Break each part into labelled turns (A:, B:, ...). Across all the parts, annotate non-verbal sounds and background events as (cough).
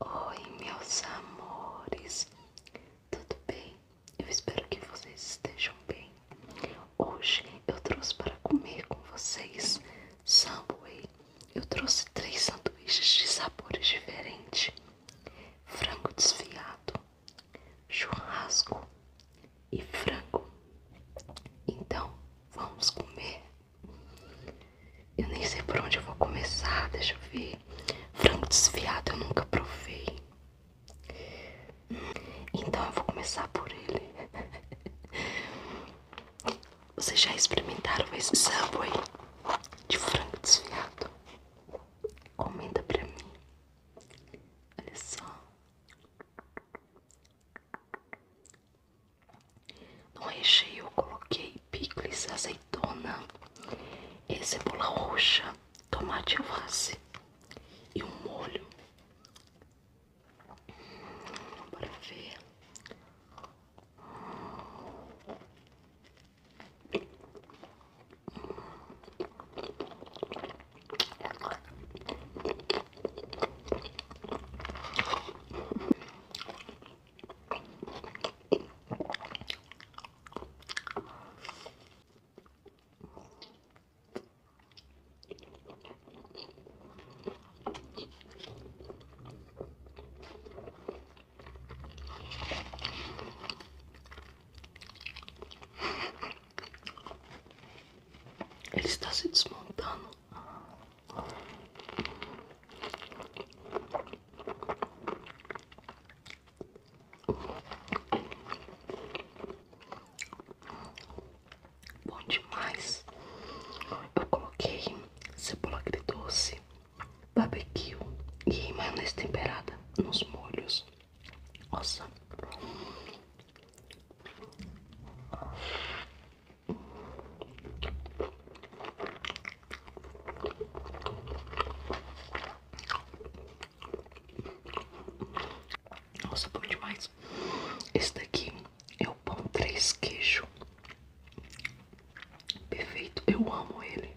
A: Oi, meus amores, tudo bem? Eu espero que vocês estejam bem. Hoje eu trouxe para comer com vocês Subway. Eu trouxe três sanduíches de sabores diferentes: frango desfiado, churrasco e frango. Então vamos comer. Eu nem sei por onde eu vou começar, deixa eu ver. Frango desfiado eu nunca provei. Então eu vou começar por ele. (laughs) Vocês já experimentaram esse Subway de frango desfiado? Comenta pra mim. Olha só. Não recheio eu coloquei picles, azeitona, cebola roxa, tomate alface e um molho. Hum, para ver. Hum. Ele está se desmontando. Bom demais. Eu coloquei cebola agridoce, barbecue e maionese temperada nos molhos. Nossa, nossa, bom demais. Esse daqui é o pão três queijo. Perfeito, eu amo ele.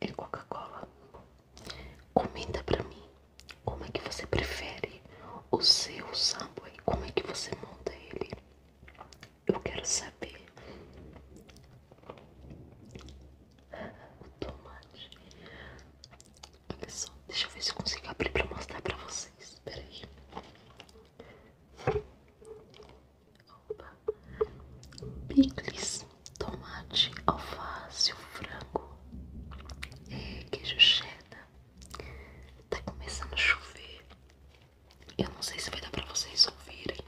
A: e é Coca-Cola. Comenta pra mim como é que você prefere o seu samba e como é que você monta ele. Eu quero saber. O tomate. Olha só, deixa eu ver se consigo abrir pra mostrar pra vocês. Peraí opa, picles, tomate, alface, frango, e é, queijo cheddar. Tá começando a chover. Eu não sei se vai dar pra vocês ouvirem.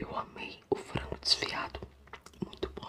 A: Eu amei o frango desfiado, muito bom.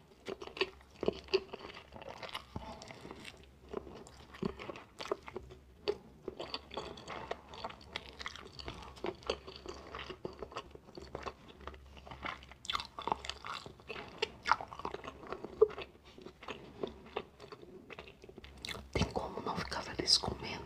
A: Tem como não ficar feliz comendo?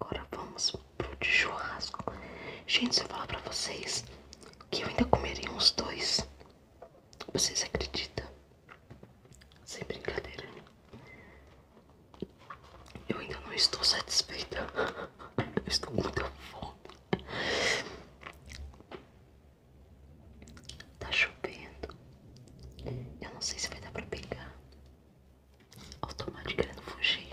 A: Agora vamos pro de churrasco. Gente, se eu falar pra vocês que eu ainda comerei uns dois. Vocês acreditam? Sem brincadeira. Eu ainda não estou satisfeita. Eu estou muito muita fome. Tá chovendo. Eu não sei se vai dar pra pegar. automaticamente o tomate querendo fugir.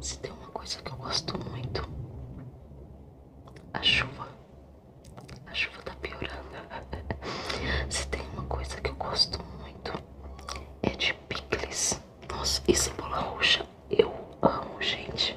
A: Se tem uma coisa que eu gosto muito, a chuva. A chuva tá piorando. (laughs) Se tem uma coisa que eu gosto muito, é de picles. Nossa, e cebola roxa. Eu amo, gente.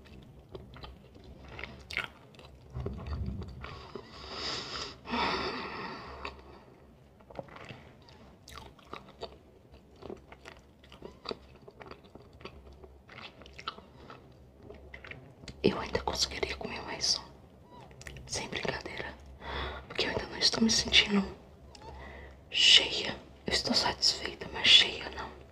A: Eu ainda conseguiria comer mais um. Sem brincadeira. Porque eu ainda não estou me sentindo cheia. Eu estou satisfeita, mas cheia não.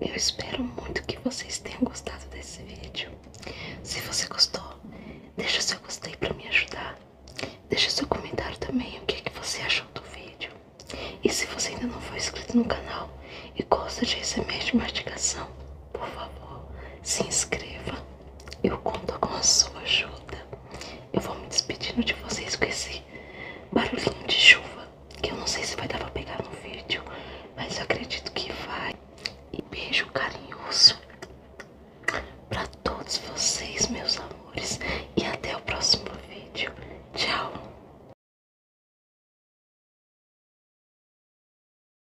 A: Eu espero muito que vocês tenham gostado desse vídeo. Se você gostou, deixa seu gostei para me ajudar. Deixa seu comentário também o que, que você achou do vídeo. E se você ainda não for inscrito no canal e gosta de receber de mastigação, por favor, se inscreva. Eu conto com a sua ajuda. Eu vou me despedindo de vocês com esse barulhinho de chuva, que eu não sei se vai dar pra pegar no vídeo, mas eu acredito que vai. E beijo carinhoso pra todos vocês, meus amores, e até o próximo vídeo. Tchau!